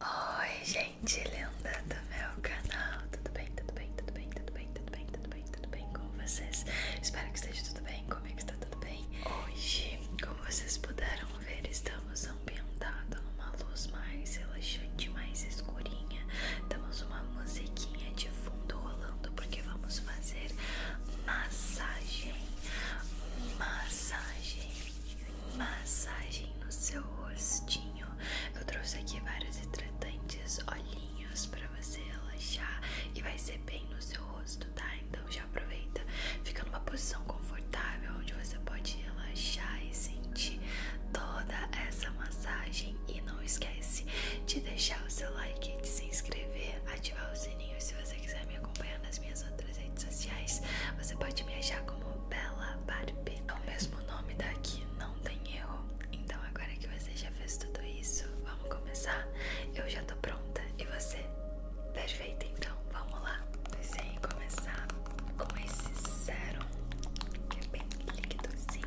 Oi, gente linda do meu canal, tudo bem, tudo bem, tudo bem, tudo bem, tudo bem, tudo bem, com vocês? Espero que esteja tudo bem, comigo é está tudo bem. Hoje, como vocês puderam ver, estamos ambientados numa luz mais relaxante, mais escurinha. Temos uma musiquinha de fundo rolando porque vamos fazer massagem, massagem massagem no seu rostinho. Eu trouxe aqui vários hidratantes, olhinhos para você relaxar e vai ser bem no seu rosto, tá? Então já aproveita, fica numa posição confortável onde você pode relaxar e sentir toda essa massagem. E não esquece de deixar o seu like, de se inscrever, ativar o sininho se você quiser me acompanhar nas minhas outras redes sociais. Você pode me achar como Bella Barbie. É o mesmo nome daqui, não tem erro. Então agora que você já fez tudo isso, vamos começar? Eu já tô pronta. E você? Perfeito, então vamos lá. Pensei em começar com esse sérum, que é bem líquidozinho.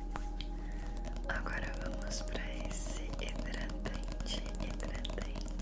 Agora vamos para esse hidratante, hidratante, hidratante.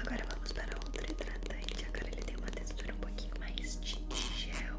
Agora vamos para outro hidratante. Agora ele tem uma textura um pouquinho mais de gel.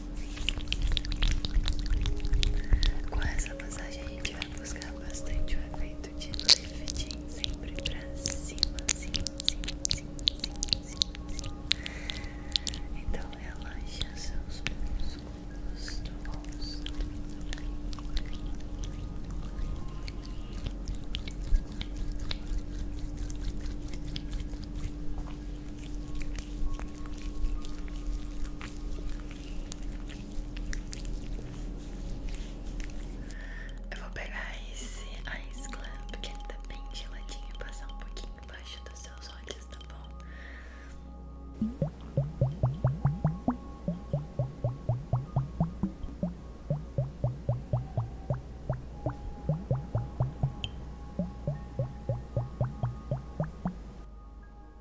Com essa massagem a gente vai buscar bastante o efeito de lifting sempre pra cima, sim, sim, sim, sim, Então relaxa seus músculos do tá rosto. Eu vou pegar esse Ice Club, porque ele tá bem geladinho, e passar um pouquinho embaixo dos seus olhos, tá bom?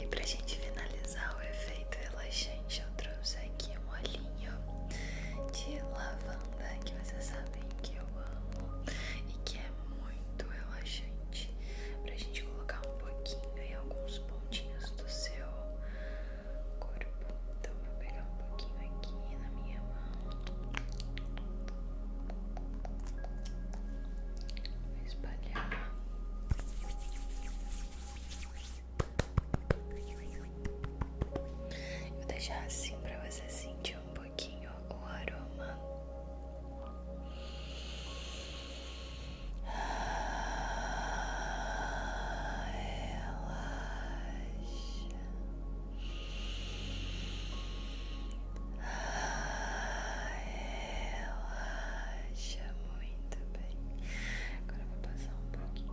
E pra gente finalizar o efeito relaxante, eu trouxe aqui um olhinho de lavanda que você sabe que eu amo e que é muito relaxante pra gente colocar um pouquinho em alguns pontinhos do seu corpo. Então vou pegar um pouquinho aqui na minha mão. Vou espalhar. Vou deixar assim pra você sentir um o pouquinho o aroma. Ah, relaxa. Ah, relaxa muito bem. Agora vou passar um pouquinho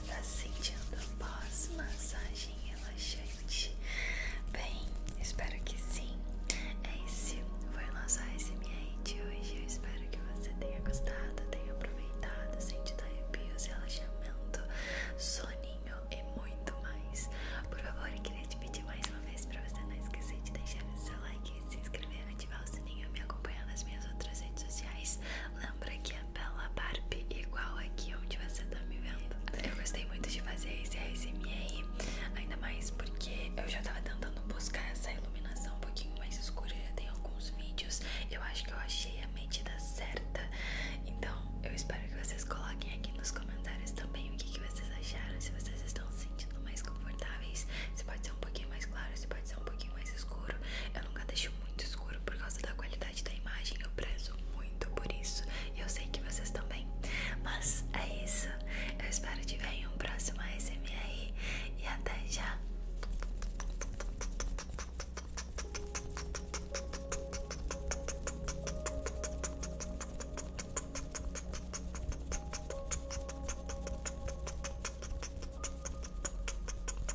você está sentindo pós-massagem relaxante? Bem, espero que sim. Esse é foi o nosso ASMR de hoje. Eu espero que você tenha gostado, tenha aproveitado, sentido arrepios, relaxamento, soninho e muito mais. Por favor, eu queria te pedir mais uma vez para você não esquecer de deixar o seu like, se inscrever, ativar o sininho e me acompanhar nas minhas outras redes sociais lembra que a pela Barbie, igual aqui onde você tá me vendo. Eu gostei muito de fazer esse ASMR, ainda mais porque eu já tava tentando buscar essa iluminação um pouquinho mais escura, já tem alguns vídeos. Eu acho que eu achei a medida certa, então eu espero que vocês coloquem aqui nos comentários também o que, que vocês acharam, se vocês estão se sentindo mais confortáveis, se pode ser um pouquinho mais claro, se pode ser um pouquinho mais escuro. Eu nunca deixo muito escuro por causa da qualidade da imagem, eu prezo muito por isso. E eu sei que vocês também. Mas é isso. Eu espero te ver em um próximo ASMR. E até já.